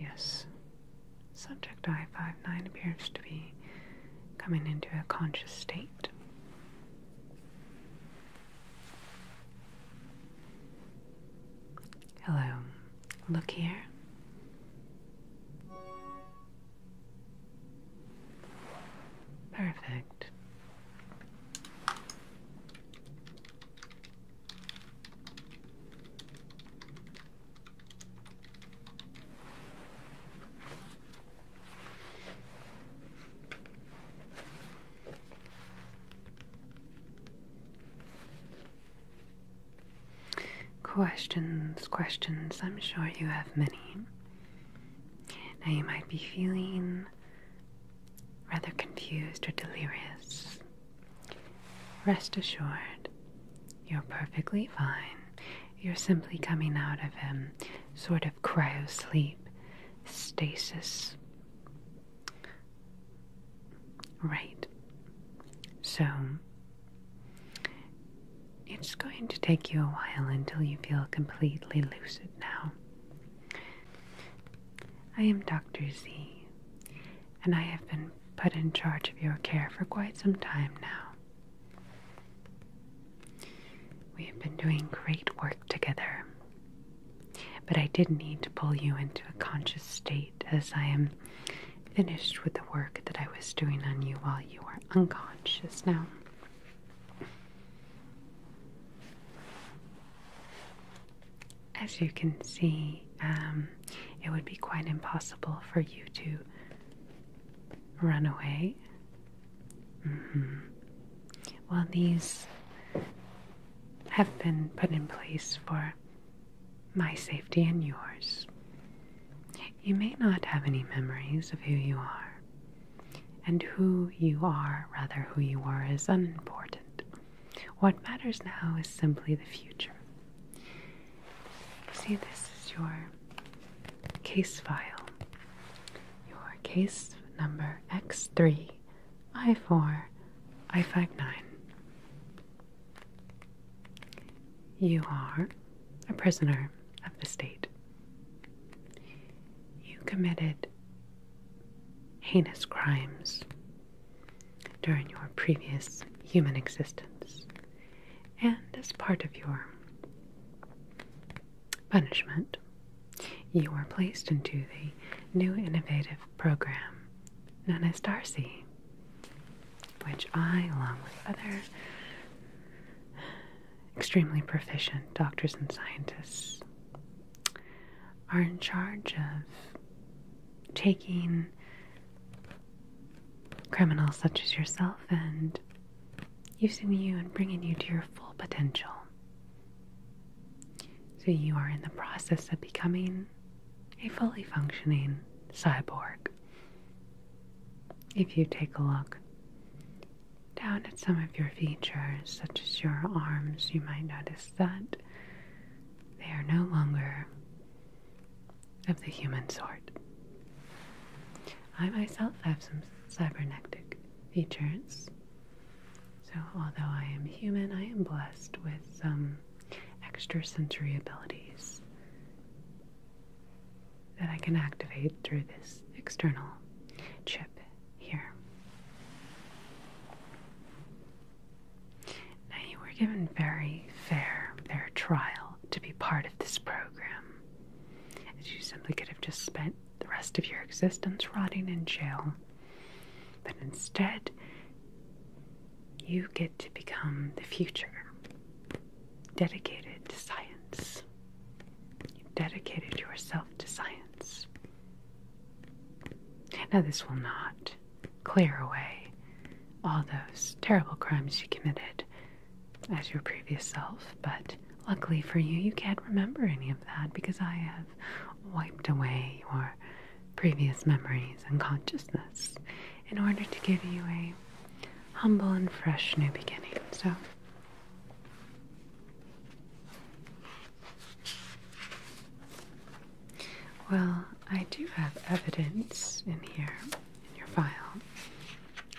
Yes. Subject I-59 appears to be coming into a conscious state. Hello. Look here. Perfect. Questions, questions, I'm sure you have many. Now you might be feeling rather confused or delirious. Rest assured, you're perfectly fine you're simply coming out of a um, sort of cryosleep, stasis. Right. So, it's going to take you a while until you feel completely lucid now. I am Dr. Z, and I have been put in charge of your care for quite some time now. We have been doing great work together, but I did need to pull you into a conscious state as I am finished with the work that I was doing on you while you were unconscious now. As you can see, um, it would be quite impossible for you to run away Mm-hmm. Well, these have been put in place for my safety and yours. You may not have any memories of who you are, and who you are, rather, who you are, is unimportant. What matters now is simply the future. see, this is your case file. Your case number X3 I4 i nine. You are a prisoner of the state. You committed heinous crimes during your previous human existence, and as part of your Punishment. You are placed into the new innovative program known as Darcy, which I, along with other extremely proficient doctors and scientists, are in charge of taking criminals such as yourself and using you and bringing you to your full potential. So you are in the process of becoming a fully functioning cyborg. If you take a look down at some of your features, such as your arms, you might notice that they are no longer of the human sort. I myself have some cybernetic features. So, although I am human, I am blessed with some extrasensory abilities that I can activate through this external chip here. Now, you were given very fair, fair trial to be part of this program, as you simply could have just spent the rest of your existence rotting in jail. But instead, you get to become the future, dedicated to science. You've dedicated yourself to science. Now, this will not clear away all those terrible crimes you committed as your previous self, but luckily for you, you can't remember any of that because I have wiped away your previous memories and consciousness in order to give you a humble and fresh new beginning. So, well, I do have evidence in here in your file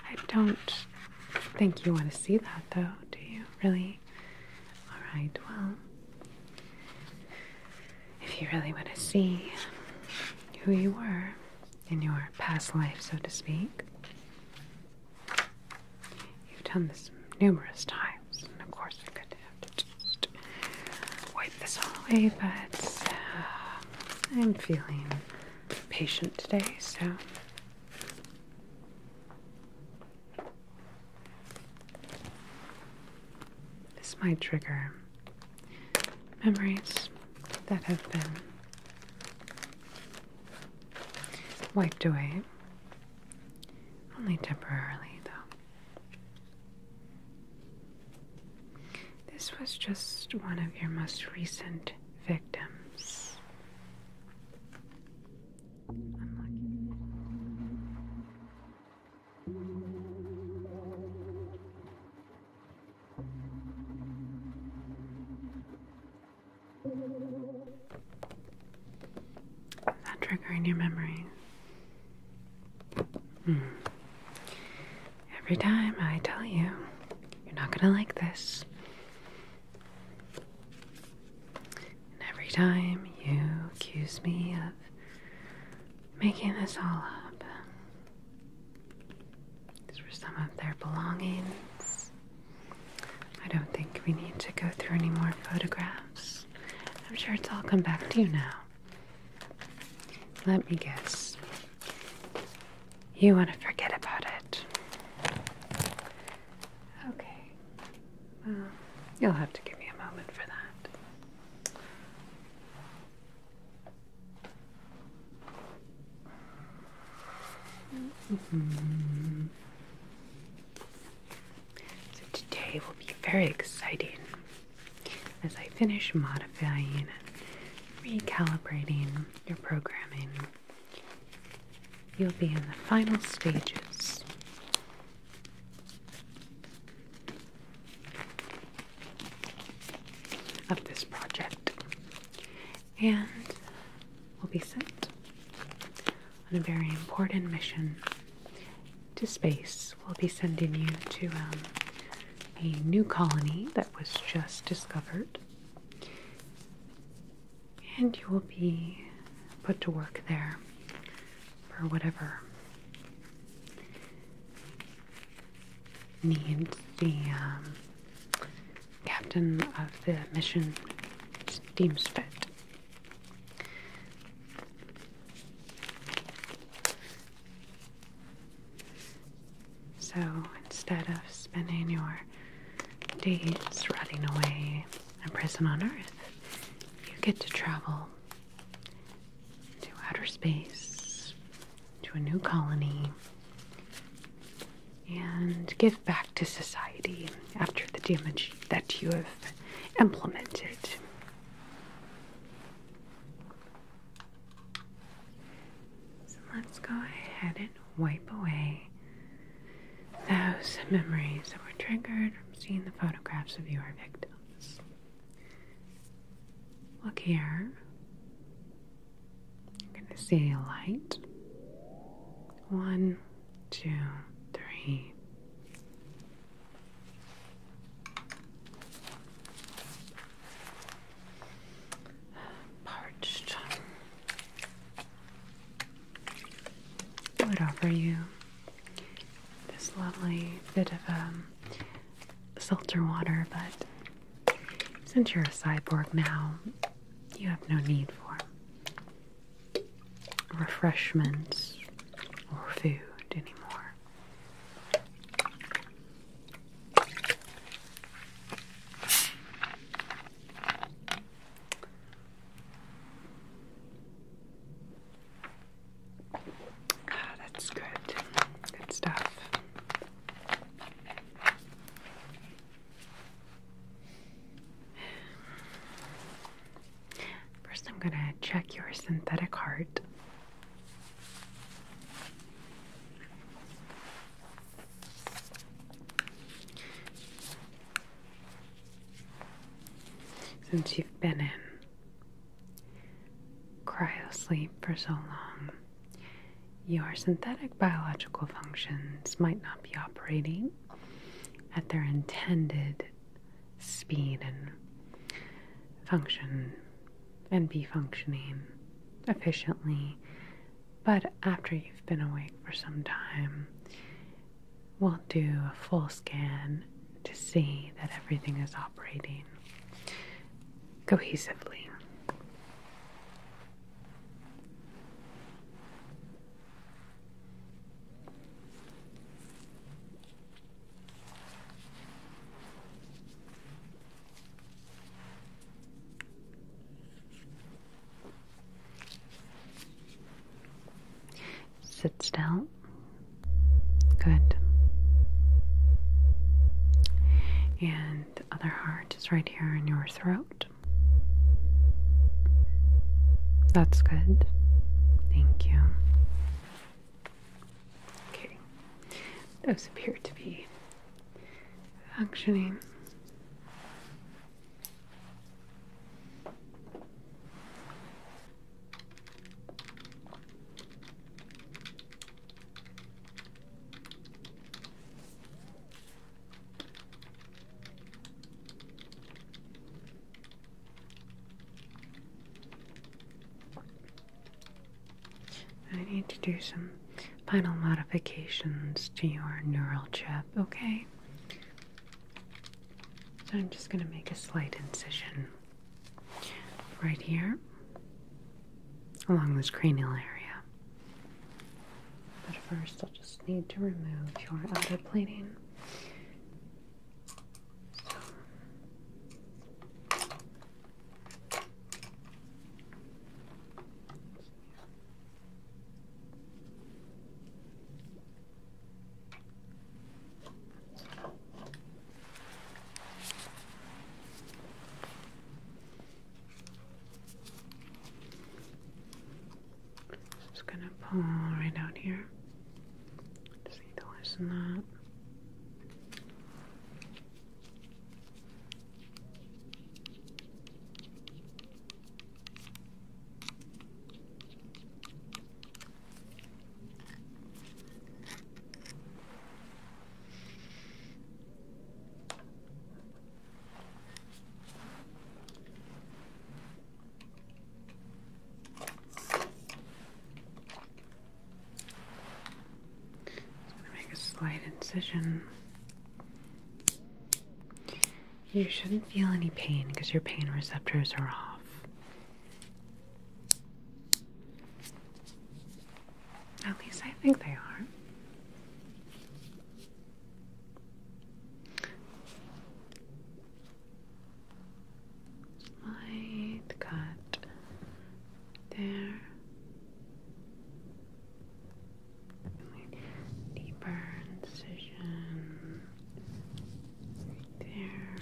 I don't think you want to see that though, do you? Really? Alright, well, if you really want to see who you were in your past life, so to speak, you've done this numerous times, and of course, I could have to wipe this all away, but uh, I'm feeling patient today, so this might trigger memories that have been wiped away. Only temporarily, though. This was just one of your most recent victims. That trigger your memory. Hmm. Every time I tell you, you're not gonna like this. And every time you accuse me of making this all up, these were some of their belongings. I don't think we need to go through any more photographs. I'm sure it's all come back to you now. Let me guess. You want to forget about it. Okay. Well, you'll have to give me a moment for that. Mm-hmm. So today will be very exciting as I finish modifying recalibrating your programming. You'll be in the final stages. Of this project, and we will be sent on a very important mission to space. We'll be sending you to um, a new colony that was just discovered, and you will be put to work there for whatever needs the um, captain of the mission deems fit. So instead of spending your days rotting away in prison on Earth, you get to travel to outer space, to a new colony, and give back to society after the damage that you have implemented. So let's go ahead and wipe away those memories that were triggered from seeing the photographs of your victims. Look here. I'm going to see a light. One, two, three. Parched. I would offer you this lovely bit of um, water, but since you're a cyborg now, you have no need for refreshments or food anymore. Ah, that's good. Good stuff. First, I'm going to check your synthetic heart. Since you've been in cryosleep for so long, your synthetic biological functions might not be operating at their intended speed and function and be functioning efficiently but after you've been awake for some time, we'll do a full scan to see that everything is operating cohesively. Sit still. Good. And the other heart is right here in your throat. That's good. Thank you. Okay. Those appear to be functioning. I need to do some final modifications to your neural chip, okay? So I'm just going to make a slight incision right here along this cranial area. But first, I'll just need to remove your outer plating. Just gonna pull right out here. Just need to loosen that. Just gonna make a slight incision you shouldn't feel any pain because your pain receptors are off. At least I think they are. Slight cut there deeper incision right there.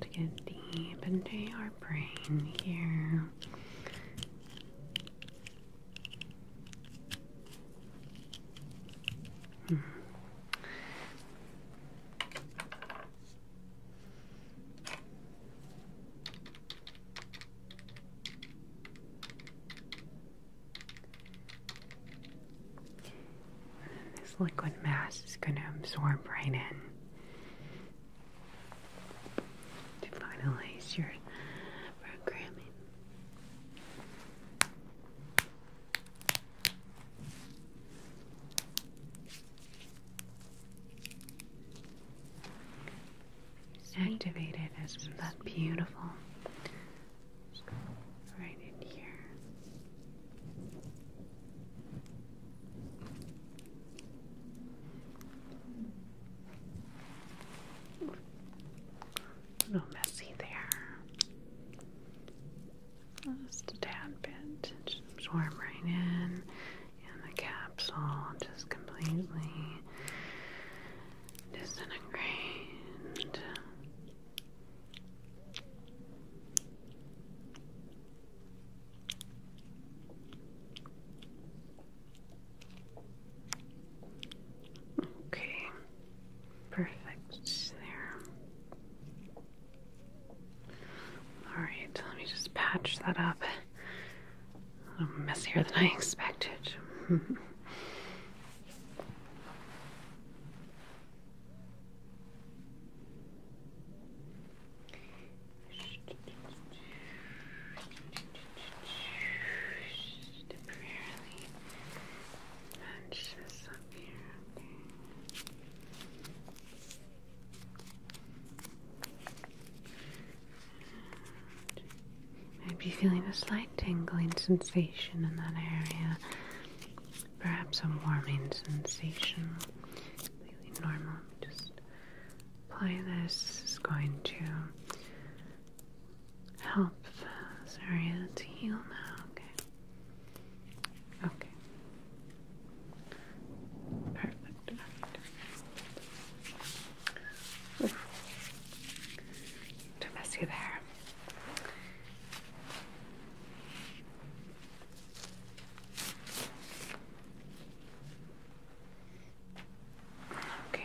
to get deep into our brain here. This liquid mass is going to absorb right in to finalize your programming activated Isn't that beautiful right in here. A little messy there. Just a tad bit. Just absorb right in. And the capsule just completely disintegrate. Okay, Perfect there. Alright, let me just patch that up. A little messier than I expected. Temporarily punch this up here. Okay. Might be feeling a slight tingling sensation in that area, perhaps a warming sensation. Completely normal. Just apply this. is going to help Sorry, area to heal now. Okay. Perfect. Oof. Too messy there. Okay.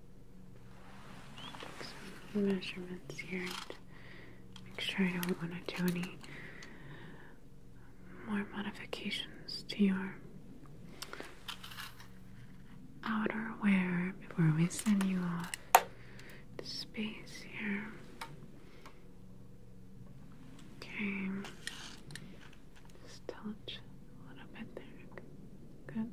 Take some measurements here make sure I don't want to do any more modifications to your outer wear before we send you off to space here. Okay. Just touch a little bit there. Good.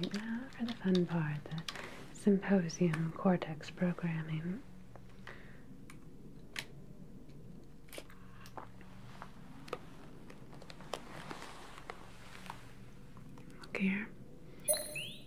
Right now for the fun part, the symposium cortex programming. Look here.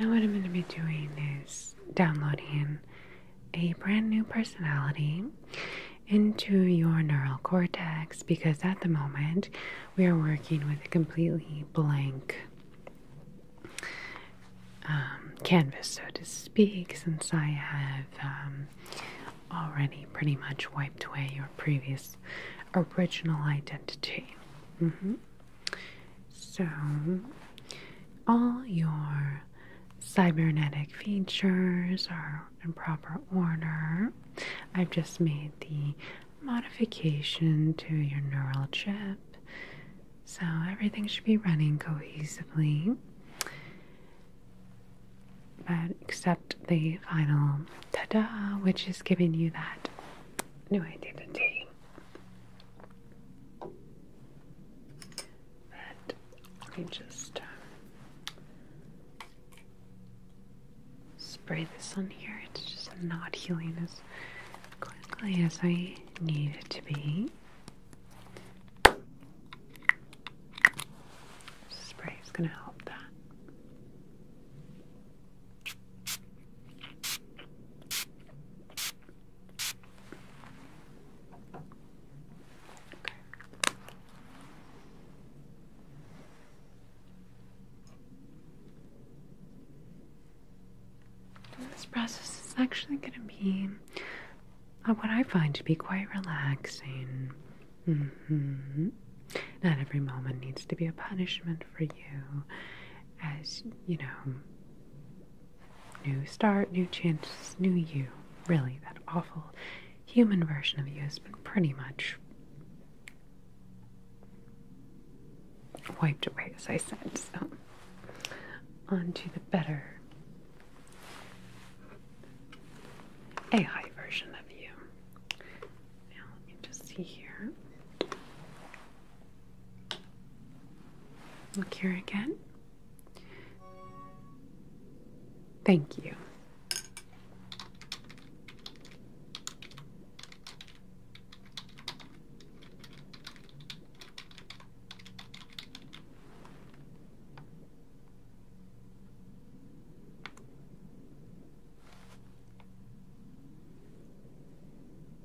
Now, what I'm going to be doing is downloading a brand new personality into your neural cortex because at the moment we are working with a completely blank um, canvas, so to speak, since I have um, already pretty much wiped away your previous original identity. Mm-hmm. So, all your cybernetic features are in proper order. I've just made the modification to your neural chip, so everything should be running cohesively. But except the final ta da, which is giving you that new identity let me just uh, spray this on here. It's just not healing as quickly as I need it to be. Spray is going to help that this process is actually going to be uh, what I find to be quite relaxing. Mm-hmm. Not every moment needs to be a punishment for you, as you know, New start, new chances, new you. Really, that awful human version of you has been pretty much wiped away, as I said. So, on to the better a high version of you. Now, let me just see here. Look here again. Thank you.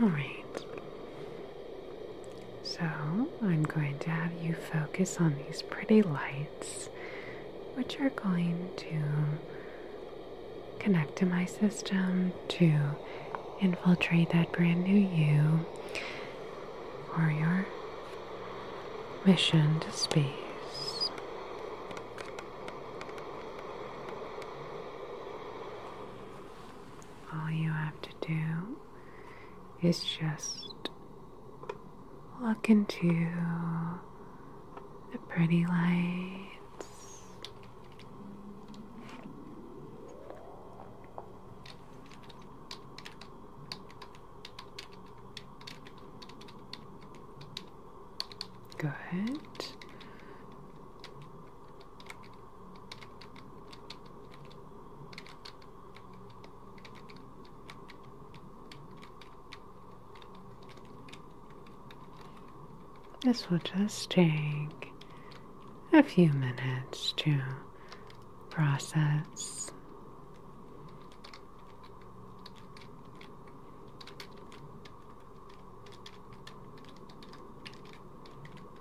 All right. So I'm going to have you focus on these pretty lights, which are going to connect to my system to infiltrate that brand new you or your mission to space all you have to do is just look into the pretty lights. Go ahead. This will just take a few minutes to process.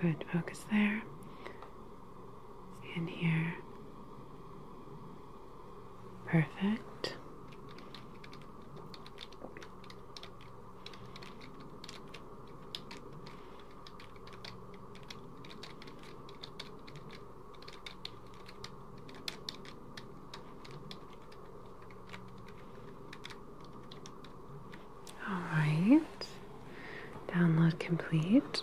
Good, focus there and here. Perfect. All right, download complete.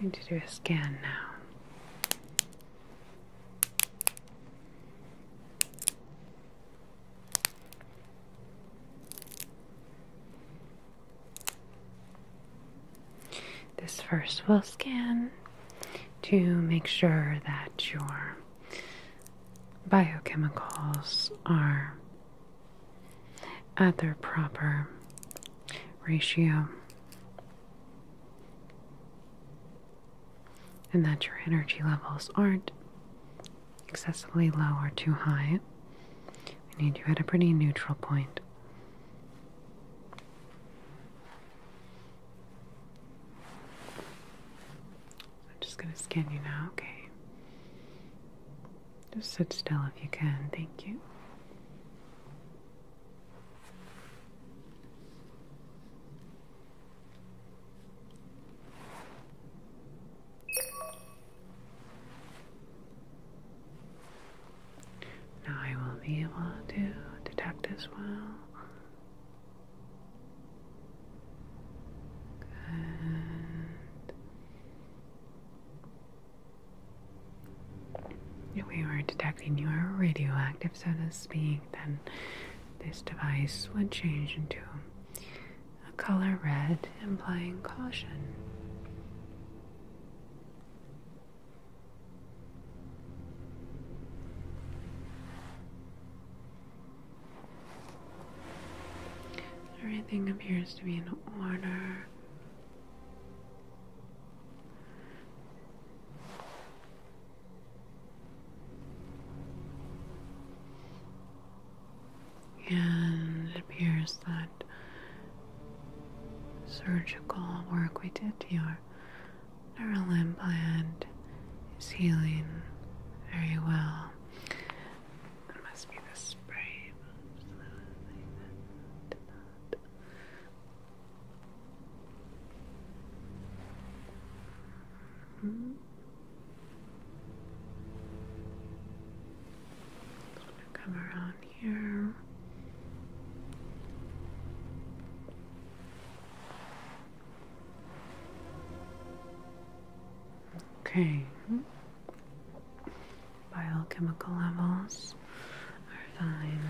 I need to do a scan now. This first will scan to make sure that your biochemicals are at their proper ratio. And that your energy levels aren't excessively low or too high. We need you at a pretty neutral point. I'm just going to scan you now, okay? Just sit still if you can, thank you. Now I will be able to detect as well. Good. If we were detecting you are radioactive, so to speak, then this device would change into a color red, implying caution. Everything appears to be in order. And it appears that surgical work we did to your neural implant is healing very well. It must be the spray. Hmm. Just come around here. Okay biochemical levels are fine.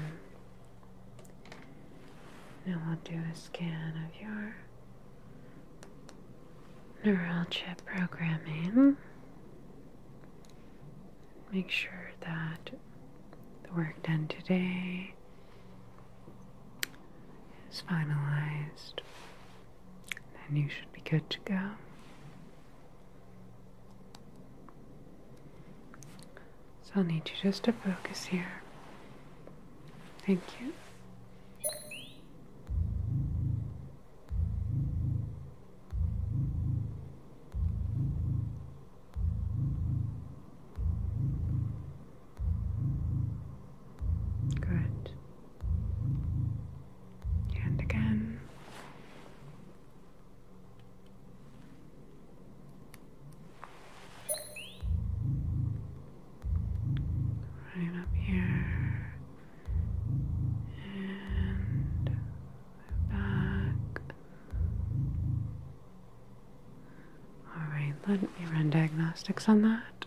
Now we'll do a scan of your neural chip programming. Make sure that the work done today is finalized. Then you should be good to go. So I'll need you just to focus here. Thank you. Good. And again. Right up here and back. Alright, let me run diagnostics on that.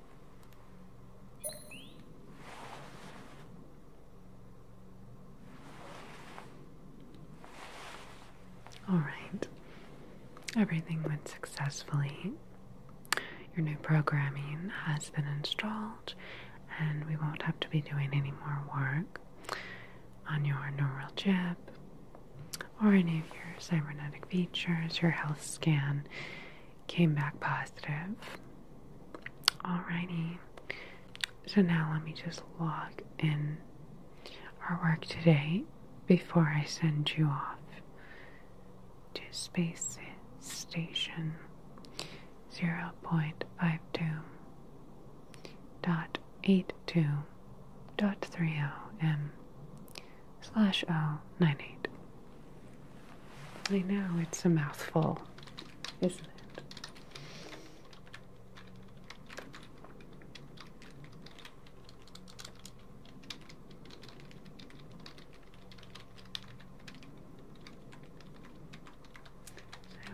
All right. Everything went successfully. Your new programming has been installed, and we won't have to be doing any more work on your neural chip or any of your cybernetic features, your health scan, came back positive. Alrighty. So now let me just log in our work today before I send you off to space station zero point five two dot dot three zero oh m slash L oh, nine eight. I know it's a mouthful, isn't it?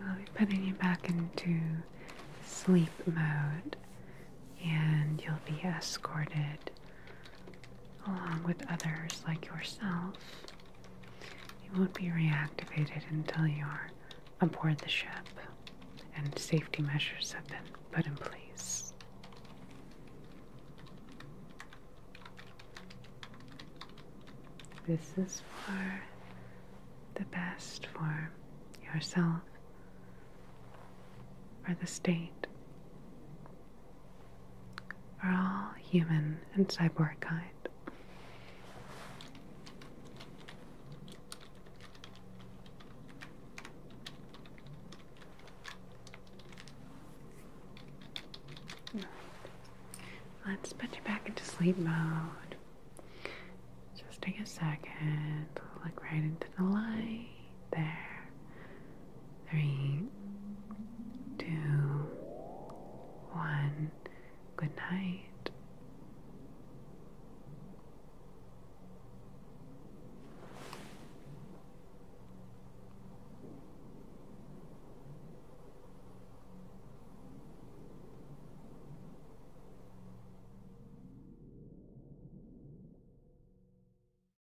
I'll be putting you back into sleep mode, and you'll be escorted along with others like yourself, you won't be reactivated until you're aboard the ship and safety measures have been put in place. This is for the best for yourself, or the state, are all human and cyborg kind. Let's put you back into sleep mode. Just take a second, look right into the light there. Three, two, one. Good night.